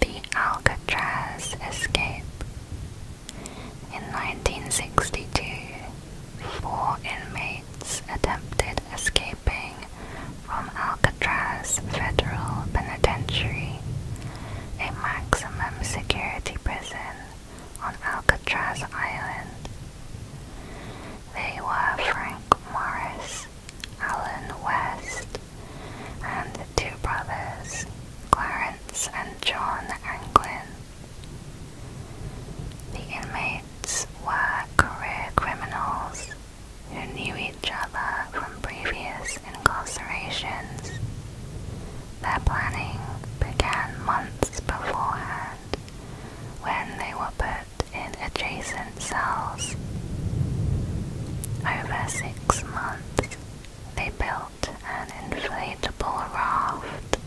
The Alcatraz escape. In 1962, four inmates attempted escaping from Alcatraz Federal Penitentiary, a maximum security prison on Alcatraz Island. They were Frank Morris, Alan West, and the two brothers, Clarence and John Anglin. The inmates were career criminals who knew each other from previous incarcerations. Their planning began months beforehand when they were put in adjacent cells. Over six months, they built an inflatable raft,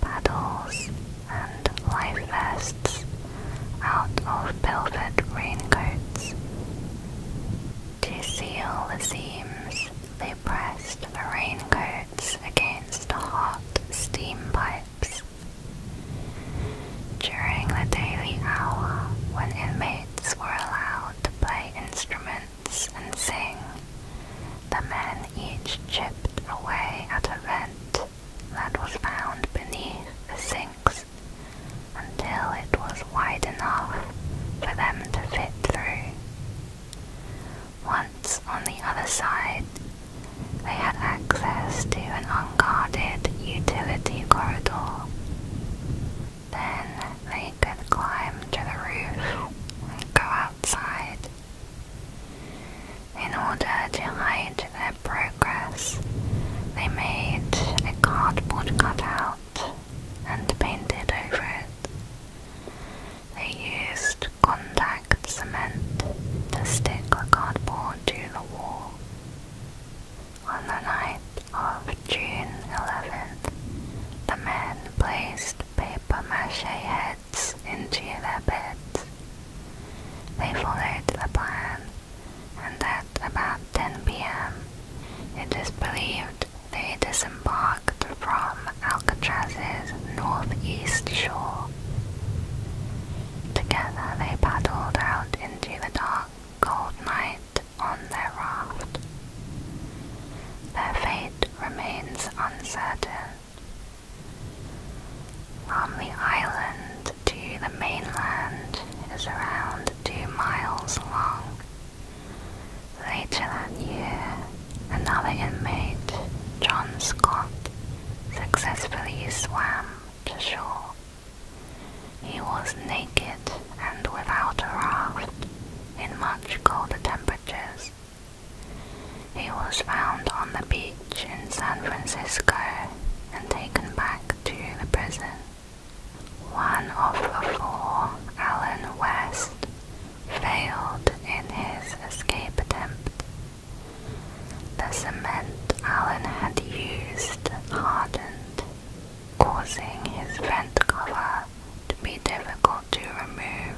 paddles, and life vests out of velvet raincoats. To seal the seams, they pressed the raincoats against hot steam pipes. During the daily hour when inmates were allowed to play instruments and sing. The men each chipped away at a rent that was found beneath the sinks until it was wide enough for them to fit through. Once on the other side, they had access to an unguarded utility corridor. Then they could climb to the roof and go outside. In order to hide their progress, they made a cardboard cutout and painted over it. They used contact cement to stick the cardboard to the wall. On the night of June 11th, the men placed paper mache heads into their beds. They followed the plan, and at about 10 p.m., it is believed they disembarked from Alcatraz's northeast shore. Together they paddled out into the dark, cold night on their raft. Their fate remains uncertain. From the island to the mainland is around two miles long. Later that year, another inmate, John Scott, successfully swam to shore. He was naked and without a raft in much colder temperatures. He was found on the beach in San Francisco and taken back to the prison. One of the four, Alan West, failed in his escape attempt. The cement Alan had used hardened causing his vent cover to be difficult to remove.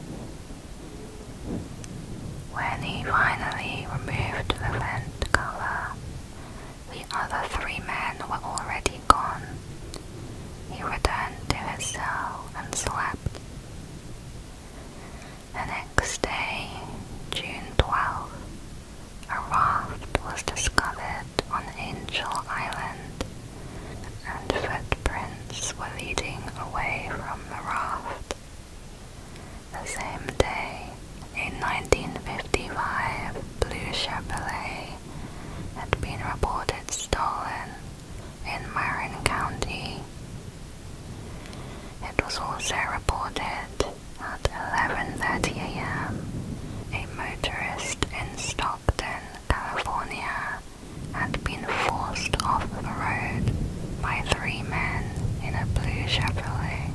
When he finally removed the vent cover, the other three men were already gone. He returned to his cell and slept. The next day, June twelfth. A raft was discovered on Angel Island, and footprints were leading away from the raft. The same day, in 1955 blue Chevrolet had been reported stolen in Marin County. It was also reported at 11:30 a.m a motorist in Stockton, California, had been forced off the road by three men in a blue Chevrolet.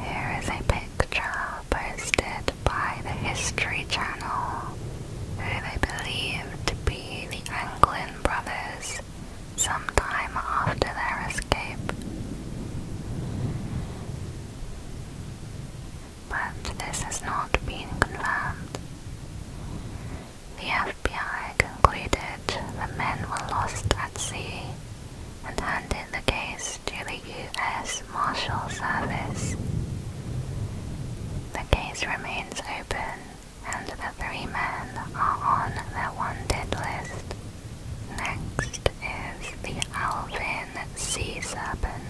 Here is a picture posted by the History Channel, who they believe to be the Anglin brothers sometime after their escape but this has not been confirmed. The FBI concluded the men were lost at sea and handed the case to the U.S. Marshal Service. The case remains open and the three men are on the wanted list. Next is the Alvin sea serpent.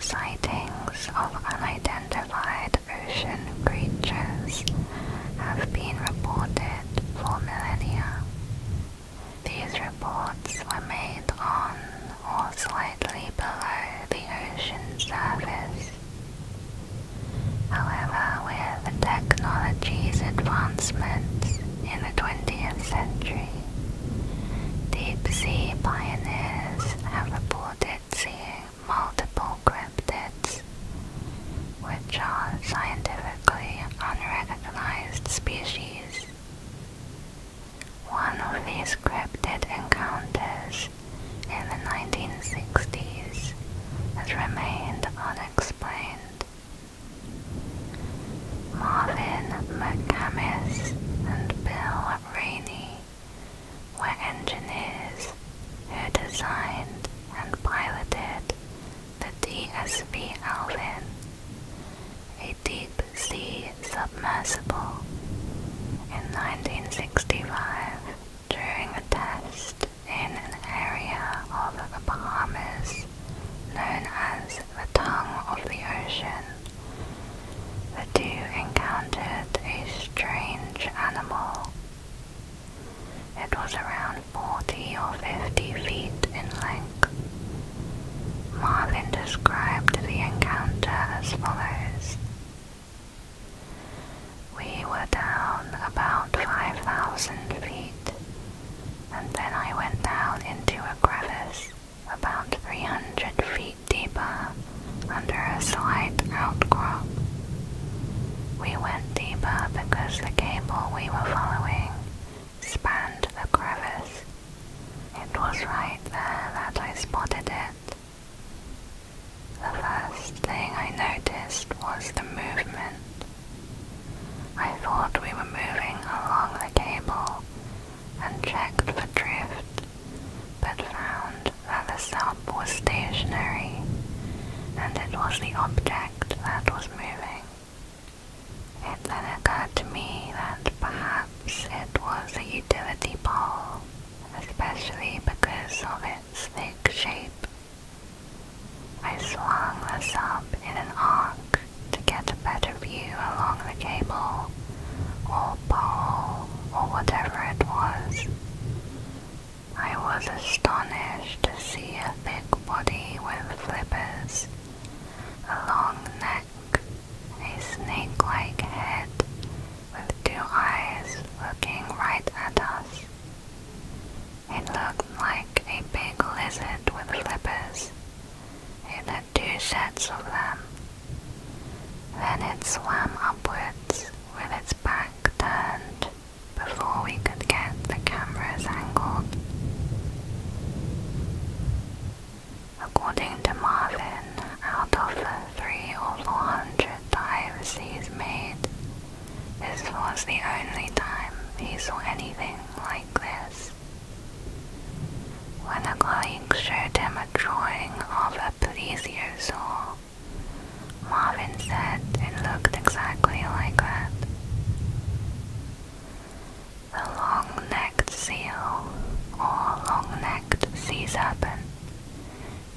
Sightings of unidentified ocean creatures have been reported for millennia. These reports were made on or slightly below the ocean surface. However, with the technology's advancements in the 20th century, Deep sea pioneers have reported seeing multiple cryptids, which are scientifically unrecognized species. One of these cryptid encounters in the 1960s has remained unexplained. Marvin McCamis and Bill Rainey were engineers who designed and piloted the DSV Alvin, a deep sea submersible, in 1965 during a test in an area of the Bahamas known as the tongue of the ocean, the two encountered a strange animal. It was around 40 or 50 feet in length. Marvin described the encounter as follows. We were down about 5,000 feet and then I went down into a crevice about 300 feet deeper under a slight outcrop. We went deeper because the cable we were following spanned the crevice. It was right there that I spotted it. The first thing I noticed was the movement I thought we were moving along the cable and checked for drift, but found that the sub was stationary and it was the object that was moving. It then occurred to me that perhaps it was a utility pole, especially because of its thick shape. I swung the sub in an arc to get a better view along the cable or pole or whatever it was. I was astonished to see a thick body with flippers, a long neck, a snake-like head with two eyes looking right at us. It looked like a big lizard with flippers, in led two sets of them. Then it swam upwards with its back turned before we could get the cameras angled. According to Marvin, out of the three or four hundred dives he's made, this was the only time he saw anything like this. When the colleague showed him a drawing of a plesiosaur, Marvin said it looked exactly like that. The long-necked seal, or long-necked sea serpent,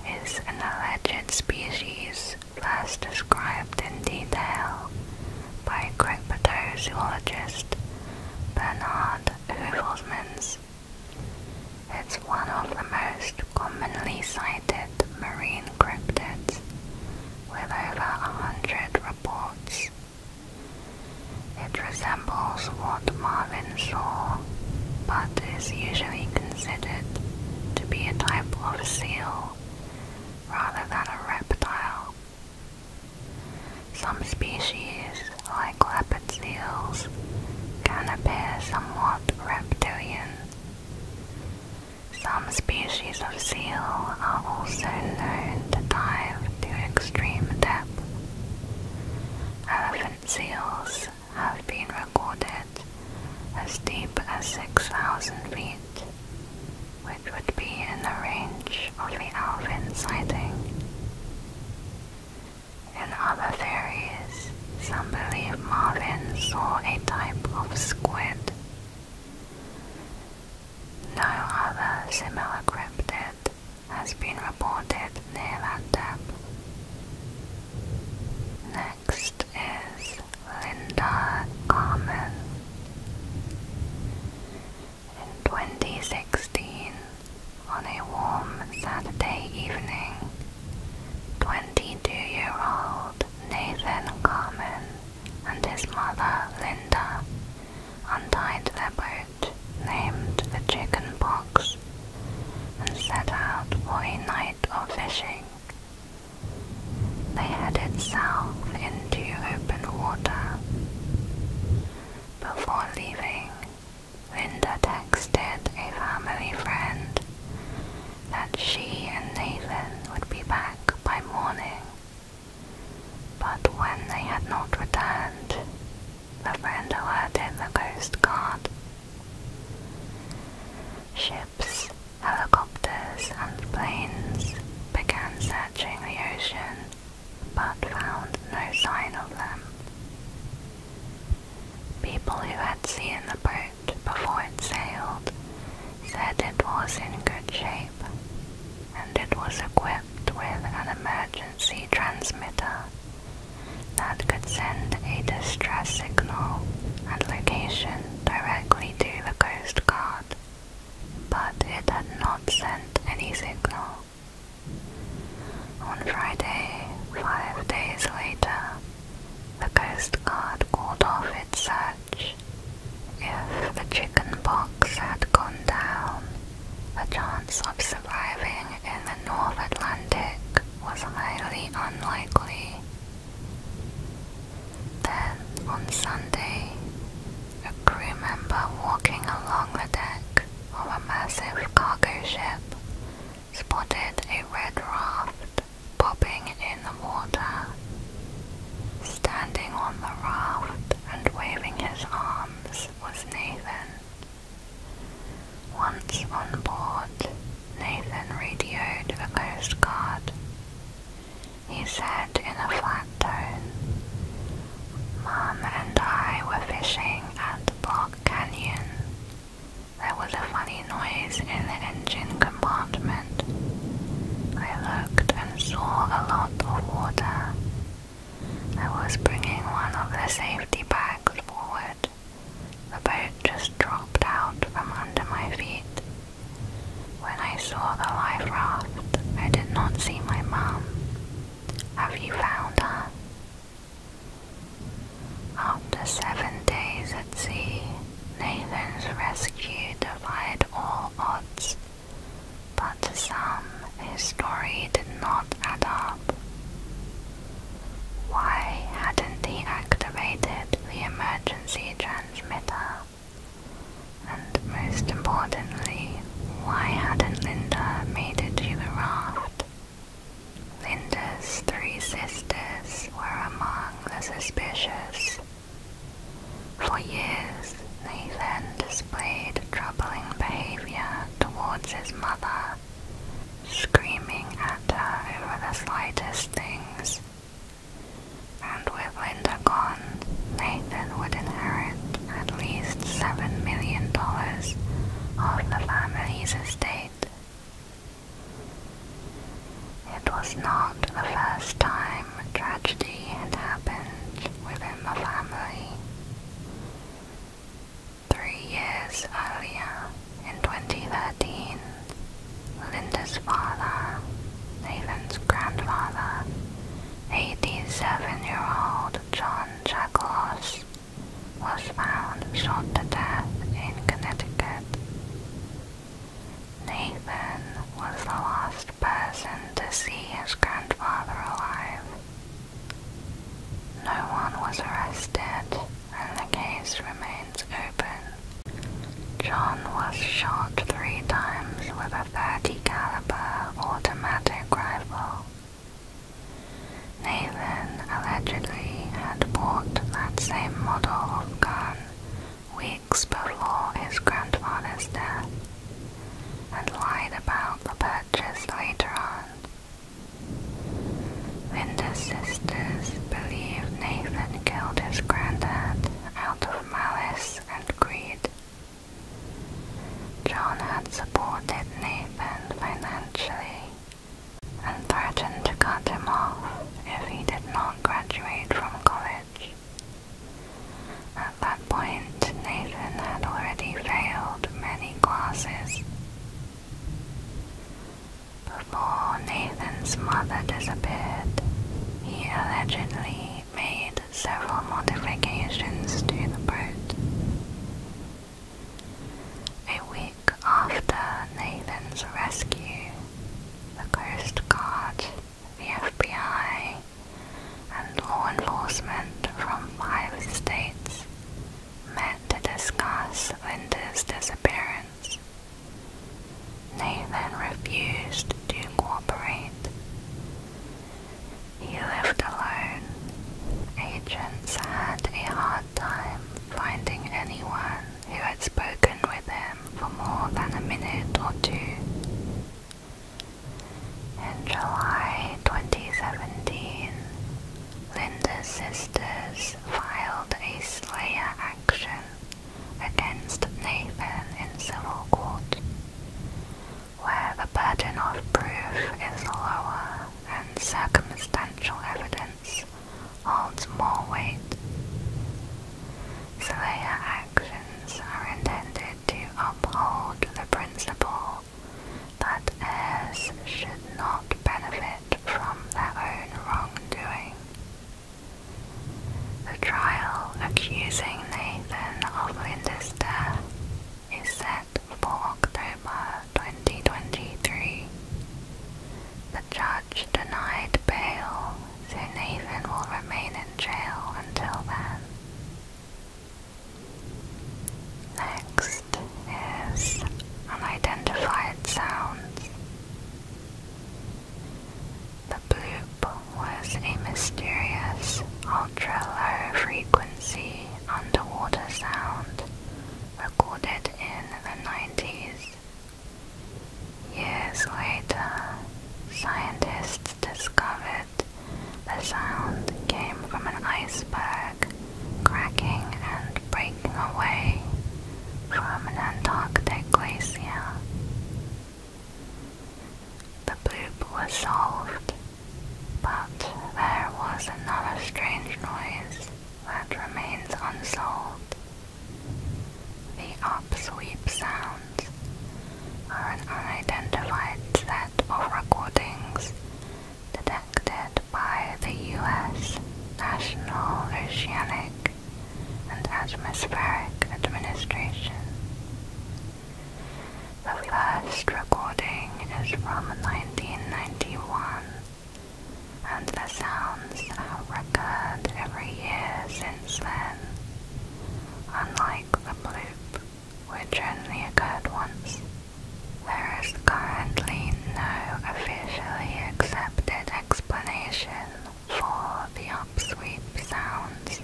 is an alleged species last described in detail by Greg Bateau zoologist Bernard Huvelsmans. It's one of the most commonly cited marine cryptids, with over a hundred reports. It resembles what Marvin saw, but is usually considered to be a type of seal rather than a reptile. Some species, like leopard seals, can appear somewhat reptilian. Some species of seal are also known to dive to extreme depth. Elephant seals have been recorded as deep as 6,000 feet, which would be in the range of the Alvin sighting. In other theories, some believe Marvin saw a type of squid. No other similar cryptid has been reported near that depth. Next is Linda Carmen in 2016, on a warm Saturday evening, 22-year-old Nathan Carmen and his mother Linda untied their boat, named the Chicken Box, and set out for a night of fishing. They headed south into open water. Before leaving, Linda texted a family friend that she and Nathan would be back by morning. But when they had not returned, the friend alerted the Coast Guard. Ships, helicopters, and planes began searching the ocean but found no sign of them. People who had seen the boat before it sailed said it was in good shape and it was equipped with an emergency transmitter that could send a distress signal and location directly to the Coast Guard but it had not sent any signal. On Friday, five days later, the Coast Guard called off its search. If the chicken pox had gone down, the chance of surviving in the North Atlantic was highly unlikely. Then, on Sunday, a crew member walking along the deck of a massive cargo ship spotted a red raft bobbing in the water. Standing on the raft and waving his arms was Nathan. Once on board, Nathan radioed the Coast Guard he said in a flat tone. Mom and I were fishing at Block Canyon. There was a funny noise in the engine compartment. I looked and saw a lot of water. I was bringing one of the safety bags forward. The boat just dropped out from under my feet. When I saw the life raft, I did not see my mum. Have you found her? After seven days at sea, Nathan's rescue defied all odds, but some, his story did not add up. Why hadn't he activated the emergency transmitter? And most importantly, why hadn't Linda made it to the raft? Linda's three sisters were among the suspicious. For years, Nathan displayed troubling behavior towards his mother, screaming at her over the slightest things. And with Linda gone, Nathan would inherit at least $7 million of the family's estate. It was not the first time tragedy had happened within the family. Three years earlier, in 2013, Linda's father, Nathan's grandfather, 87-year-old John Jacobs was found shot to death in Connecticut. Nathan was the last person to see his grandfather alive. No one was arrested and the case remains open. John was shot three times with a a 30 caliber automatic rifle. Nathan allegedly had bought that same model of gun weeks before his grandfather's death and lied about the purchase later on. the sisters believe Nathan killed his granddad out of malice and greed John had supported Nathan financially and threatened to cut him off if he did not graduate from college. At that point, Nathan had already failed many classes. Before Nathan's mother disappeared, he allegedly made several modifications to the boat. A week after Nathan's rescue, the Coast Guard, the FBI, and law enforcement from five states met to discuss Linda's disappearance. Nathan refused to cooperate. He lived alone. Agents had a hard time finding anyone who had spoken with him for more than a minute or two. In July 2017, Linda's sisters filed a slayer action against Nathan in civil court where the burden of proof is lower and circumstantial evidence holds more weight. Surveyor actions are intended to uphold the principle that heirs should not benefit from their own wrongdoing. The trial accusing Nathan of Linda's death is set for October 2023. The judge denied bail, so Nathan will remain in jail until then. Next is unidentified sounds. The bloop was a mysterious ultra-low frequency underwater sound recorded in the 90s. Years later, scientists discovered the sound came from an iceberg cracking and breaking away from an Antarctic glacier. The bloop was solved, but there was another strange noise that remains unsolved. The upsweep sounds are an unidentified set of recordings detected by the U.S. National Oceanic and Atmospheric Administration the first recording is from 1991, and the sounds have recurred every year since then, unlike the bloop, which only occurred once. There is currently no officially accepted explanation for the upsweep sounds,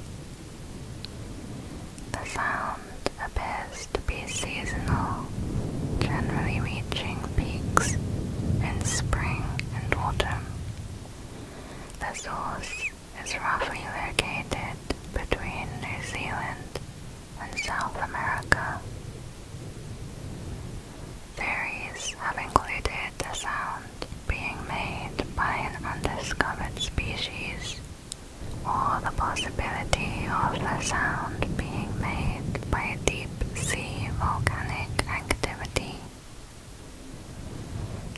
the sound appears to be seasonal, generally reaching peaks in spring and autumn. The source is roughly located between New Zealand and South America. Theories have included the sound being made by an undiscovered species or the possibility of the sound being made by deep sea volcanic activity.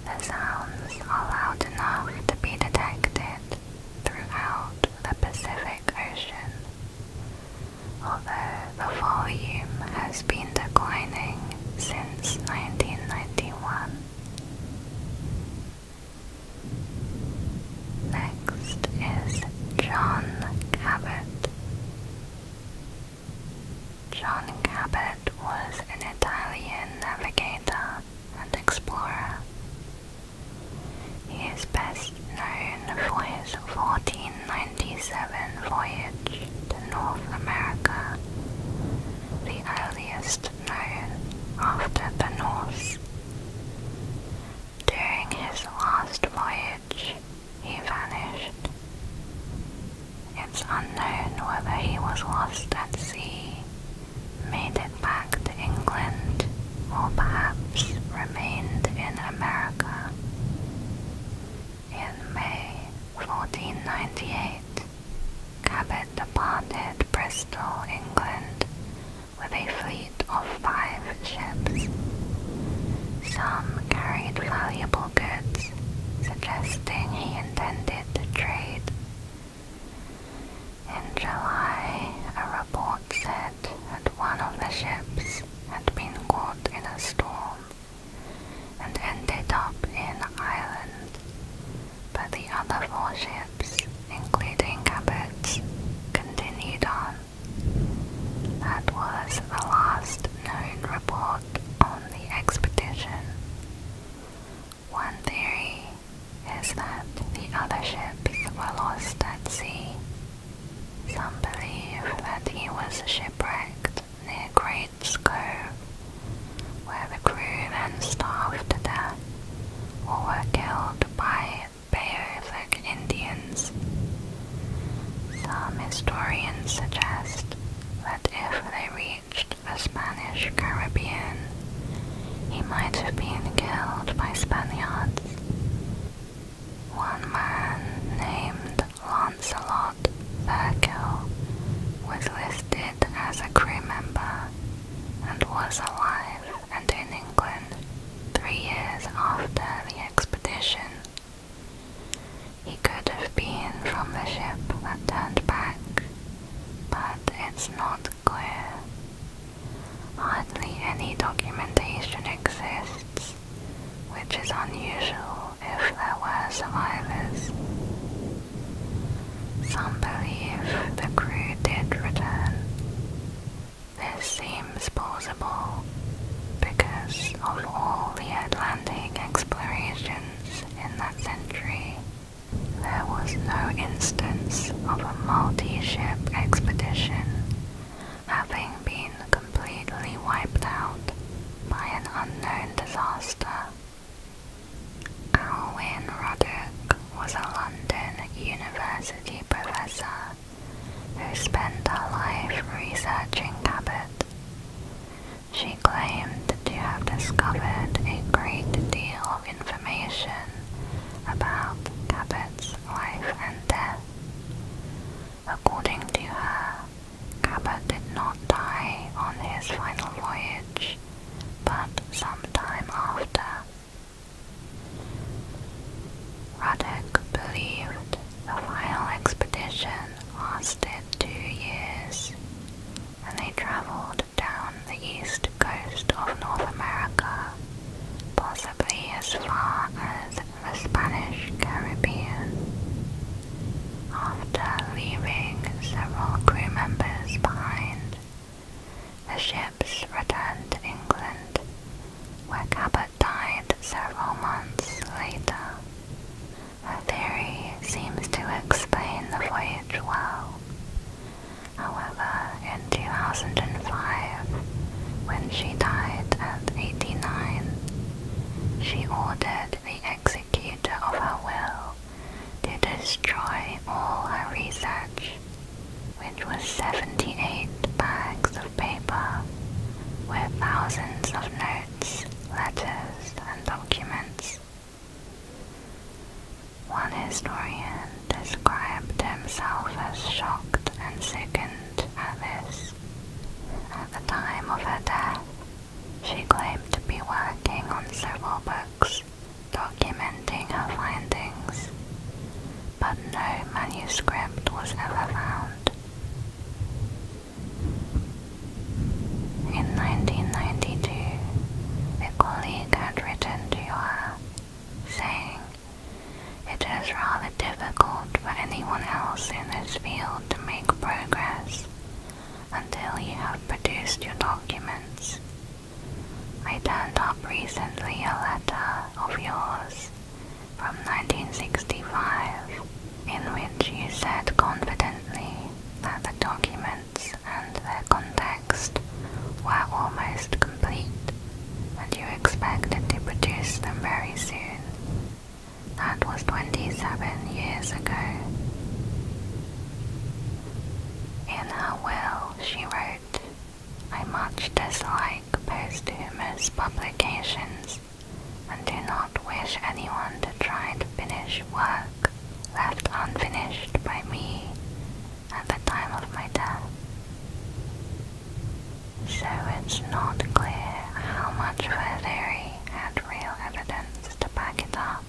The sounds are loud enough to be detected throughout the Pacific Ocean, although the volume has been declining since 1991. Next is John Cabot. John Cabot was an Italian navigator and explorer. He is best known for his 1497 voyage to North America, the earliest known after the Norse. During his last voyage, he vanished. It's unknown whether he was lost at sea, made it back to England, or perhaps remained in America. In May 1498, Cabot departed Bristol, England, with a fleet of five ships. Some carried valuable goods, suggesting he intended to trade. In July, a report said that one of the ships had been caught in a storm and ended up in Ireland, but the other four ships, including Cabot's, continued on. That was the last known report on the expedition. One theory is that the other ships were lost at sea. Some believe that he was shipwrecked near Great Cove where the crew then starved to death were killed by Beothuk Indians. Some historians suggest that if they reached the Spanish Caribbean, he might have been killed by Spaniards. One man named Lancelot Thurkill was listed as a crew member and was alive and in England three years after the expedition. He could have been from the ship that turned back, but it's not clear. Hardly any documentation exists, which is unusual if there were survivors. Some believe the crew did return. This seems possible because of all the Atlantic explorations in that century, there was no instance of a multi-ship expedition having been completely wiped out by an unknown disaster. Alwyn Roddick was a London University professor who spent her life researching Cabot. She claimed to have discovered a great deal of information about Cabot's life and death. According to her, Cabot did not die on his final voyage but some time after, Ruddock believed the final expedition lasted two years, and they traveled down the east coast of North America, possibly as far as the Spanish Caribbean. After leaving several crew members behind, the ships returned to England, where Cabot died several months later. Her theory seems to explain the voyage well. However, in 2005, when she died at 89, she ordered the executor of her will to destroy all her research, which was 78 bags of paper with thousands of notes, letters, and documents. One historian described himself as shocked and sickened at this. At the time of her death, she claimed to be working on several books documenting her findings, but no manuscript was ever found. In 1992, a colleague had written to her, saying, It is rather difficult for anyone else in this field to make progress until he have produced your documents I turned up recently a letter of yours from 1965 in which you said confidently that the documents and their context were almost complete and you expected to produce them very soon. That was 27 years ago. In her will, she wrote, I much dislike posthumous publications and do not wish anyone to try to finish work left unfinished by me at the time of my death. So it's not clear how much of her had real evidence to back it up.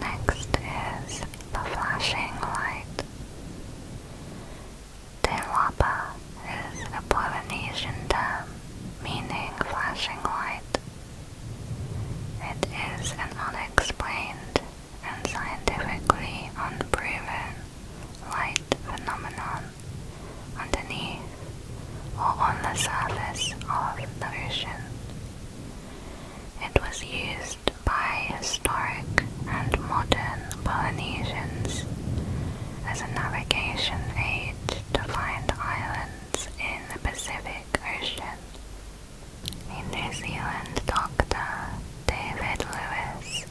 Next is the flashing light. Te is a Polynesian term meaning flashing light. It is an unexplained and scientifically unproven light phenomenon underneath or on the surface of the ocean. It was used by historic and modern Polynesians as a navigation aid to find islands in the Pacific Ocean. A New Zealand doctor, David Lewis,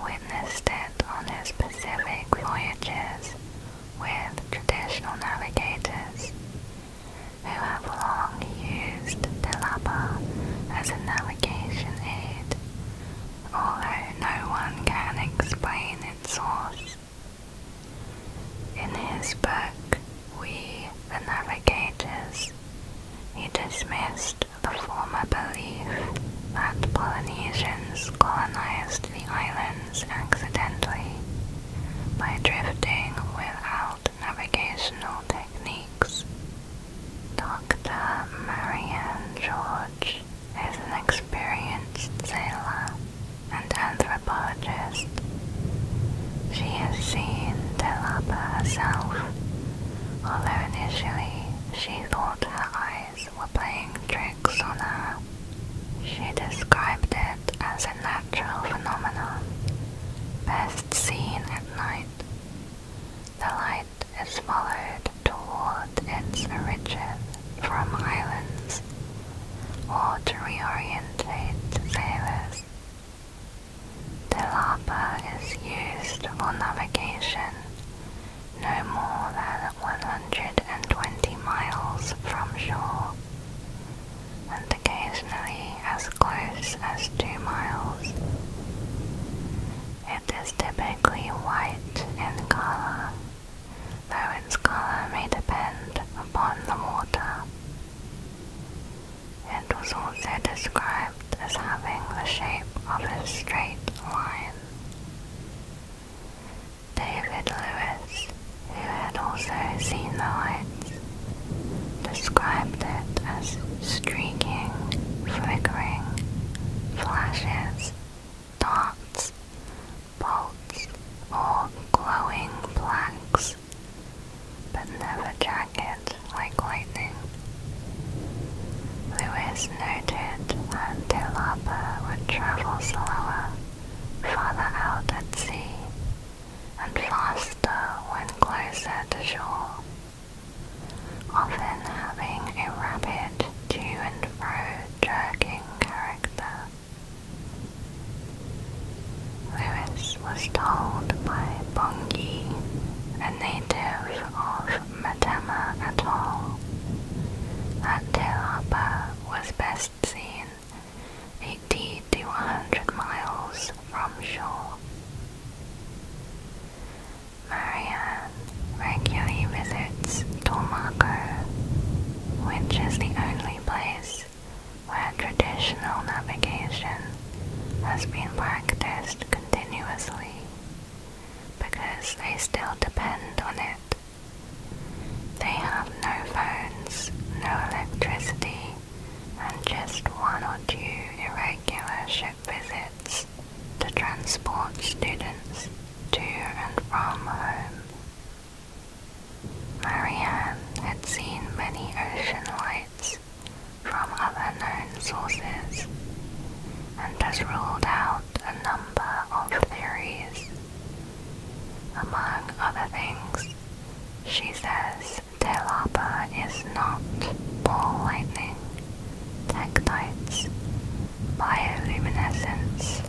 witnessed it on his Pacific voyages with traditional navigators who have long used the Lapa as a navigation aid, although no one can explain its source. In his book, We the Navigators, he dismissed the former belief that Polynesians colonized the islands accidentally by drifting without navigational techniques. Dr. Marianne George is an experienced sailor and anthropologist. She has seen Telapa herself, although initially she thought her eyes were playing tricks on her. She described it as a natural phenomenon, best seen at night. The light is followed toward its origin from islands or to reorientate sailors. The Lapa is used for navigation no more than 120 miles from shore and occasionally as close as two miles. It is typically white in color, though its color may depend upon the water. It was also described as having the shape of a straight line. David Lewis, who had also seen the lights, described it as streaking, flickering, flashes, dots, bolts, or glowing blacks, but never jagged like lightning. Lewis noted that Delapa would travel slower farther out at sea and faster when closer to shore, often having a rapid to and fro jerking character. Lewis was told by Bongi, a native of Matama Atoll, that Te Lapa was best seen 80 to 100 miles from shore. Marianne regularly visits Tormaco, which is the only place where traditional navigation has been practiced continuously because they still depend on it. They have no phones, no electricity, and just one or two irregular ship visits to transport students to and from home. Marianne had seen many ocean lights from other known sources and has ruled out a number of theories. Among other things, she says Telapa is not ball lightning, tectites, bioluminescence,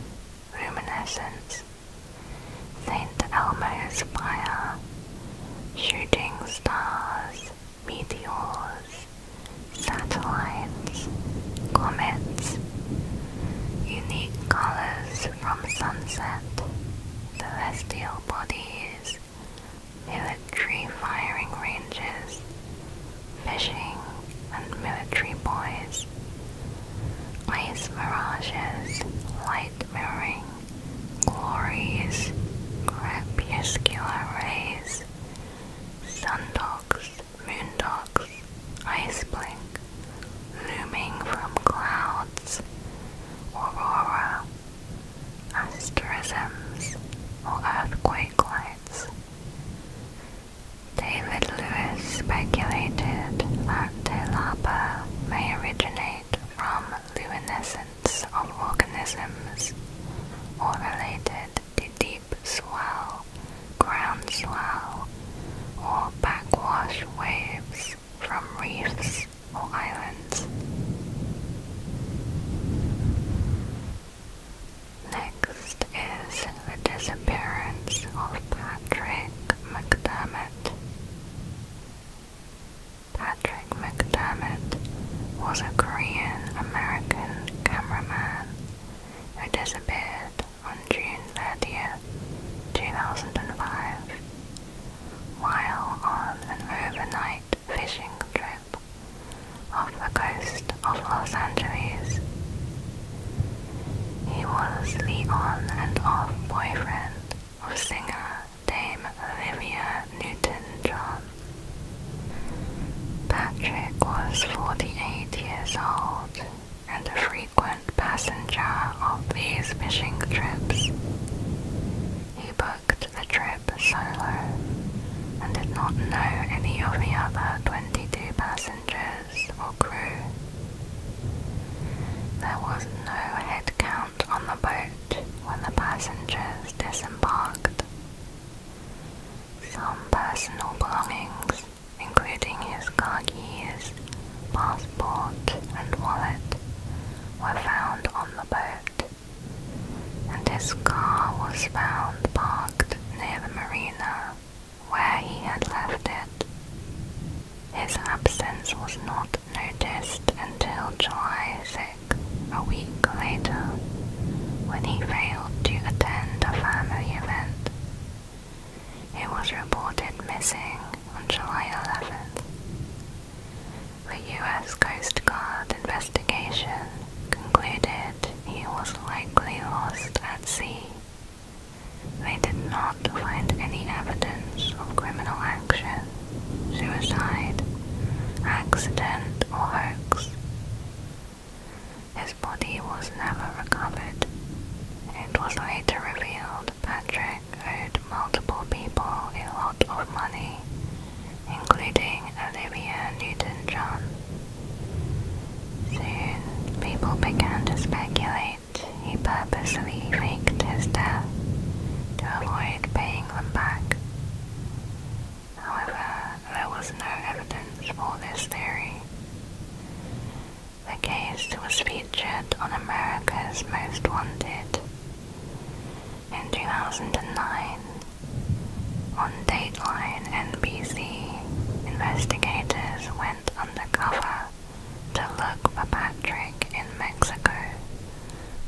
luminescence, St. Elmo's fire, shooting stars, meteors, satellites, comets, unique colors from sunset, celestial bodies cities, military firing ranges, fishing and military boys. ice mirages, light mirroring, glories, crepuscular rays, sundogs, moon dogs, ice blink, looming from clouds, aurora, asterisms, or earthquake lights. David Lewis speculated that Telapa may originate from luminescence of organisms or related to deep swell, ground swell, or backwash waves from reefs or islands. Next is the disappearance of Patrick McDermott. Patrick McDermott was a Korean-American cameraman who disappeared on June 30th, 2005 while on an overnight fishing trip off the coast of Los Angeles. He was the on and off boyfriend of singer Dame Olivia Newton-John. Patrick was 48 years old and a frequent passenger of these fishing trips. He booked the trip solo and did not know any of the other 22 passengers or crew. There was no head count on the boat when the passengers disembarked. Some personal belongings, including his keys, passport, and wallet, were found on the and his car was found parked near the marina where he had left it. His absence was not noticed until July 6, a week later, when he failed to attend a family event. He was reported missing on July 11th, the U.S. Coast Guard investigation concluded he was likely lost at sea. They did not find any evidence of criminal action, suicide, accident, or hoax. His body was never recovered. It was later revealed Patrick Jack owed multiple people a lot of money, including Olivia Newton-John. Soon, people began to speculate he purposely faked his death to avoid paying them back. However, there was no evidence for this theory. The case was featured on America's Most Wanted in 2009 on Dateline NBC, investigators went undercover to look for Patrick in Mexico,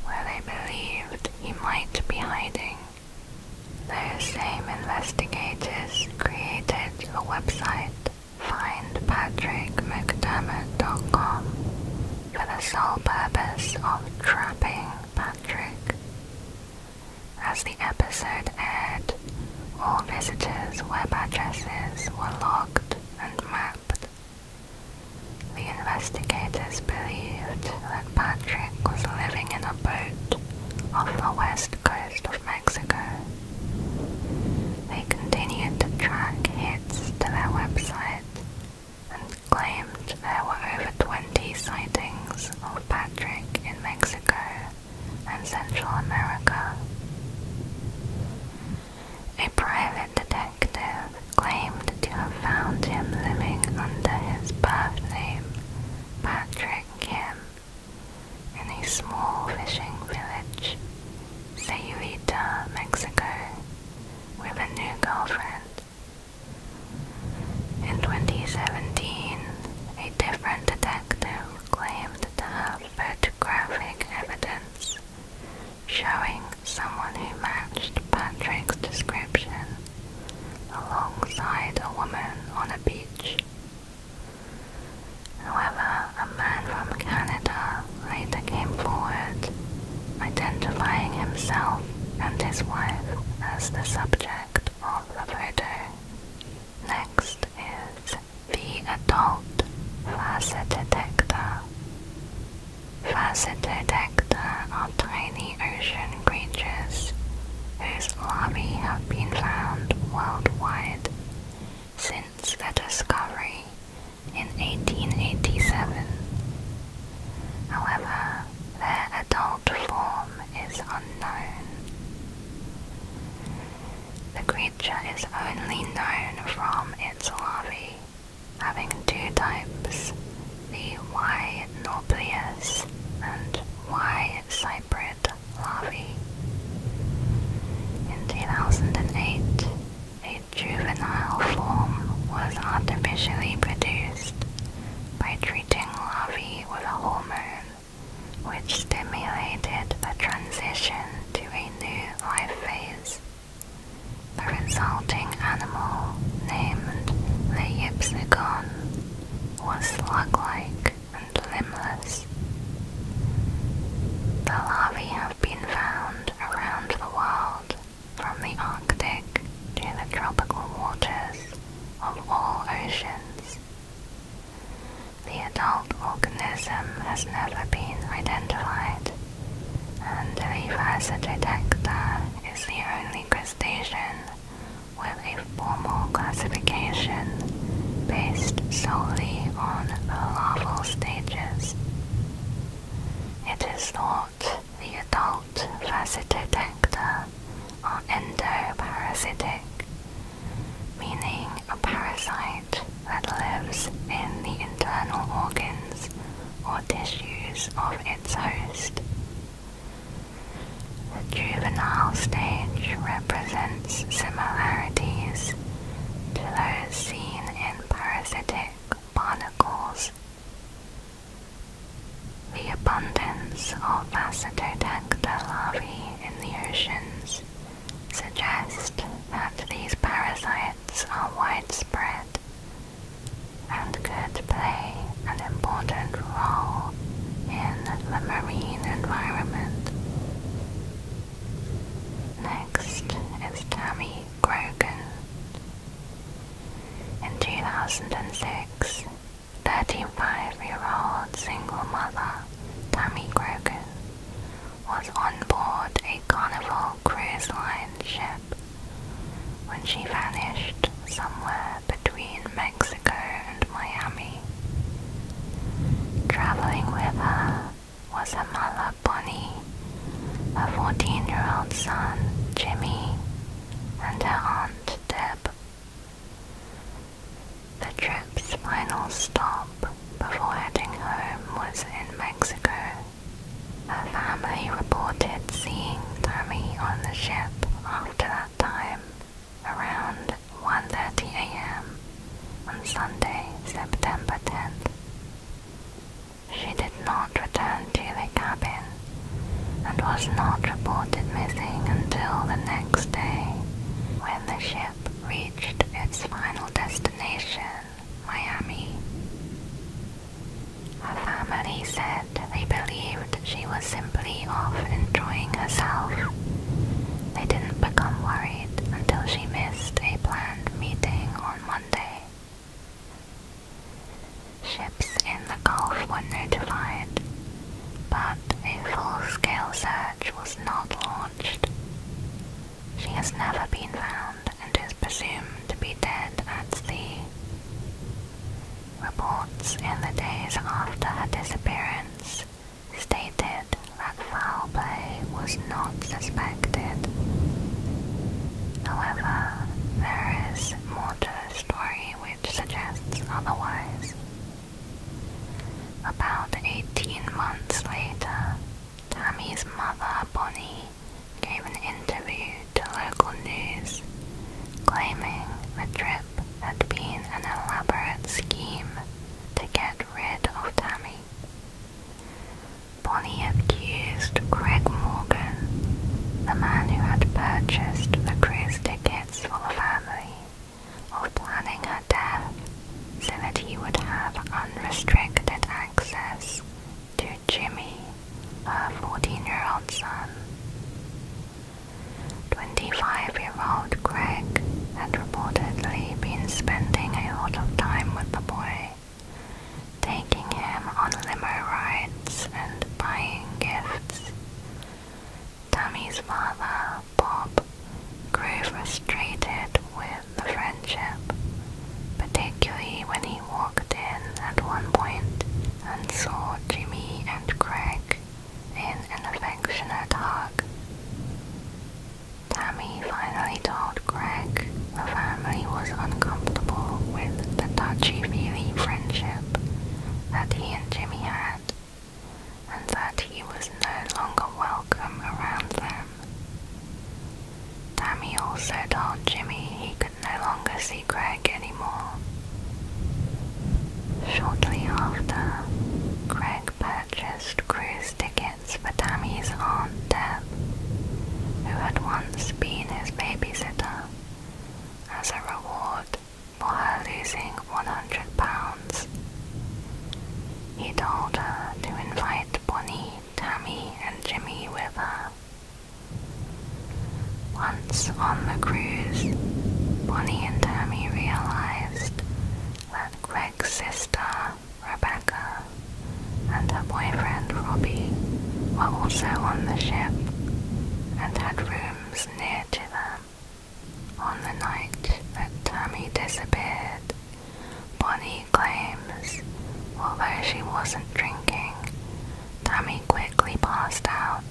where they believed he might be hiding. Those same investigators created the website, findpatrickmcdermott.com, for the sole purpose of trapping Patrick. As the episode aired, all visitors' web addresses were logged and mapped. The investigators believed that Patrick was living in a boat off the west coast of Mexico. They continued to track hits to their website and claimed there were over 20 sightings of Patrick in Mexico and Central America. A private detective claimed to have found him living under his birth name, Patrick Kim, in a small fishing village Sayulita, uh, Mexico, with a new girlfriend. In 2017, a different detective claimed to have photographic evidence showing someone who matched Patrick's description alongside a woman on a beach. However, a man from Canada later came forward, identifying himself and his wife as the subject of the photo. Next is the adult facet detector. are tiny ocean creatures whose larvae have been found worldwide since their discovery in 1887. However, their adult form is unknown. The creature is only known from its larvae, having two types, the Y. nauplius and Y. cyprid larvae. In 2008, a juvenile form was artificially produced by treating larvae with a hormone which stimulated the transition to a new life phase. The resulting animal, named the Ypsigon, was slug-like and limbless. The larvae have been found around the world from the Arctic to the tropical waters of all oceans. The adult organism has never been identified, and the Versatodecta is the only crustacean with a formal classification based solely on the larval stages. It is thought the adult parasitodactyla are endoparasitic, meaning a parasite that lives in the internal organs or tissues of its host. The juvenile stage represents similarities to those seen in parasitic barnacles the abundance of faceted larvae in the oceans suggests that these parasites are widespread and could play an important role in the marine environment. Next is Tammy Grogan, in 2006, 35-year-old single mother Tammy Grogan was on board a Carnival Cruise Line ship when she vanished somewhere between Mexico and Miami. Traveling with her was her mother Bonnie her 14 year old son Jimmy, and her aunt Deb. The trip's final stop before heading home was in Mexico. Her family reported seeing Tammy on the ship after that time, around 1.30 am on Sunday, September 10th. She did not return to the cabin and was not reported missing until the next day, when the ship reached its final destination, Miami. Her family said they believed she was simply off enjoying herself. They didn't become worried until she missed a planned meeting on Monday. Ships in the Gulf were notified, but a full-scale search was not launched. She has never been found and is presumed to be dead at sea. Reports in the days after her disappearance stated that foul play was not suspected. However, there is more to the story which suggests otherwise. About 18 months later, Tammy's mother, Bonnie, gave an interview to local news claiming the trip had been an elaborate scheme to get rid of Tammy. Bonnie accused Greg Morgan, the man who had purchased the cruise tickets for the family, of planning her death so that he would have unrestricted access to Jimmy, her 14-year-old son. 25-year-old Greg had reportedly been spending a lot of time with the boy taking him on limo rides and buying gifts. Tammy's father, Bob, grew frustrated with the friendship, particularly when he walked in at one point and saw Jimmy and Craig in an affectionate hug. Tammy finally told told Greg the family was uncomfortable with the touchy-feely friendship that he and Jimmy had, and that he was no longer welcome around them. Tammy also told Jimmy he could no longer see Greg anymore. Shortly after, Greg purchased cruise tickets for Tammy's Aunt Deb who had once been his babysitter, as a reward for her losing £100. He told her to invite Bonnie, Tammy, and Jimmy with her. Once on the cruise, Bonnie and Tammy realized that Greg's sister, Rebecca, and her boyfriend Robbie were also on the ship and had rooms near to them. On the night that Tammy disappeared, Bonnie claims, although she wasn't drinking, Tammy quickly passed out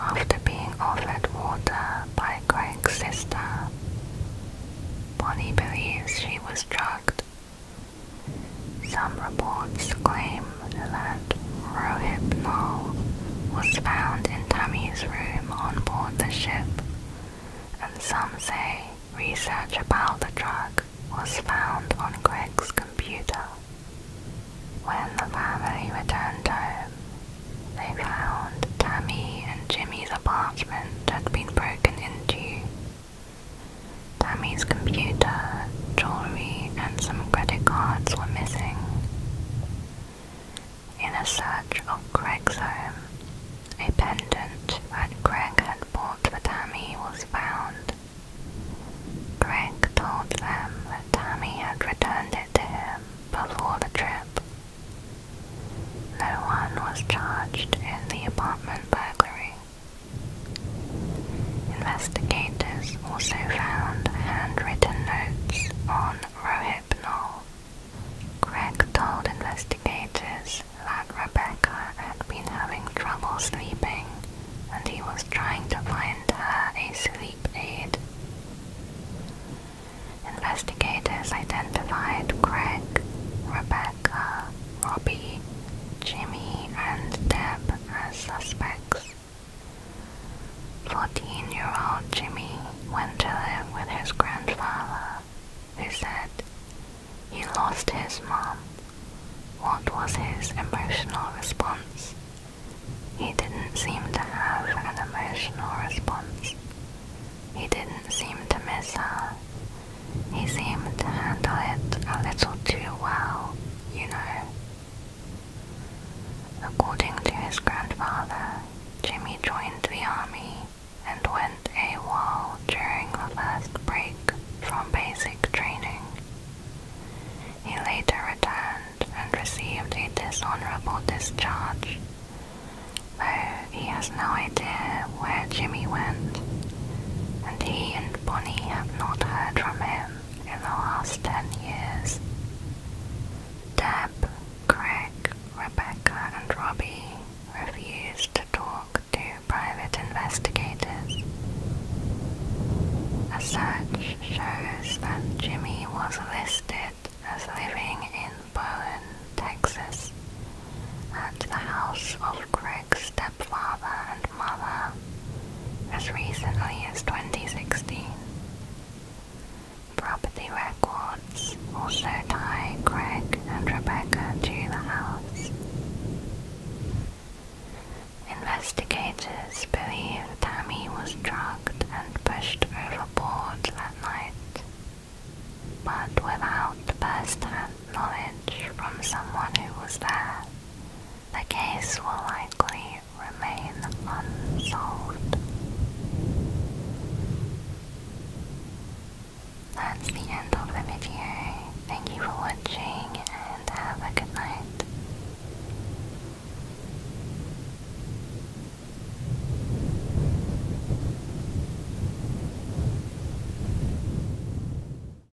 after being offered water by Craig's sister. Bonnie believes she was drugged some reports claim that rohypnol was found in Tammy's room on the ship, and some say research about the drug was found on Greg's computer. When the family returned home, they found Tammy and Jimmy's apartment had been broken into Tammy's computer, jewelry, and some credit cards were missing. In a search of Greg's home, a pendant that Greg had bought for Tammy was found. Greg told them that Tammy had returned it to him before the trip. No one was charged in the apartment burglary. Investigators also found handwritten notes on Rohypnol. Craig told investigators that Rebecca had been having trouble sleeping and he was trying to find her a sleep aid. Investigators identified Craig, Rebecca, Rebecca, Robbie, Jimmy, and Deb as suspects. 14-year-old Jimmy went to live with his grandfather, who said he lost his mom. What was his emotional response? He didn't seem to have an emotional response. He didn't seem to miss her, he seemed to handle it a little too well, you know. According to his grandfather, Jimmy joined the army and went AWOL during the first break from basic training. He later returned and received a dishonorable discharge, though he has no idea where Jimmy went and he and Bonnie have not heard from him in the last ten years. Deb, Craig, Rebecca, and Robbie refused to talk to private investigators. A search shows that Jimmy was listed as living in Bowen, Texas, at the house of Craig's stepfather and grandmother as recently as 2016. Property records also tie Greg and Rebecca to the house. Investigators believe Tammy was drugged and pushed overboard that night, but without first-hand knowledge from someone who was there, the case will likely remain unsolved. That's the end of the video. Thank you for watching and have a good night.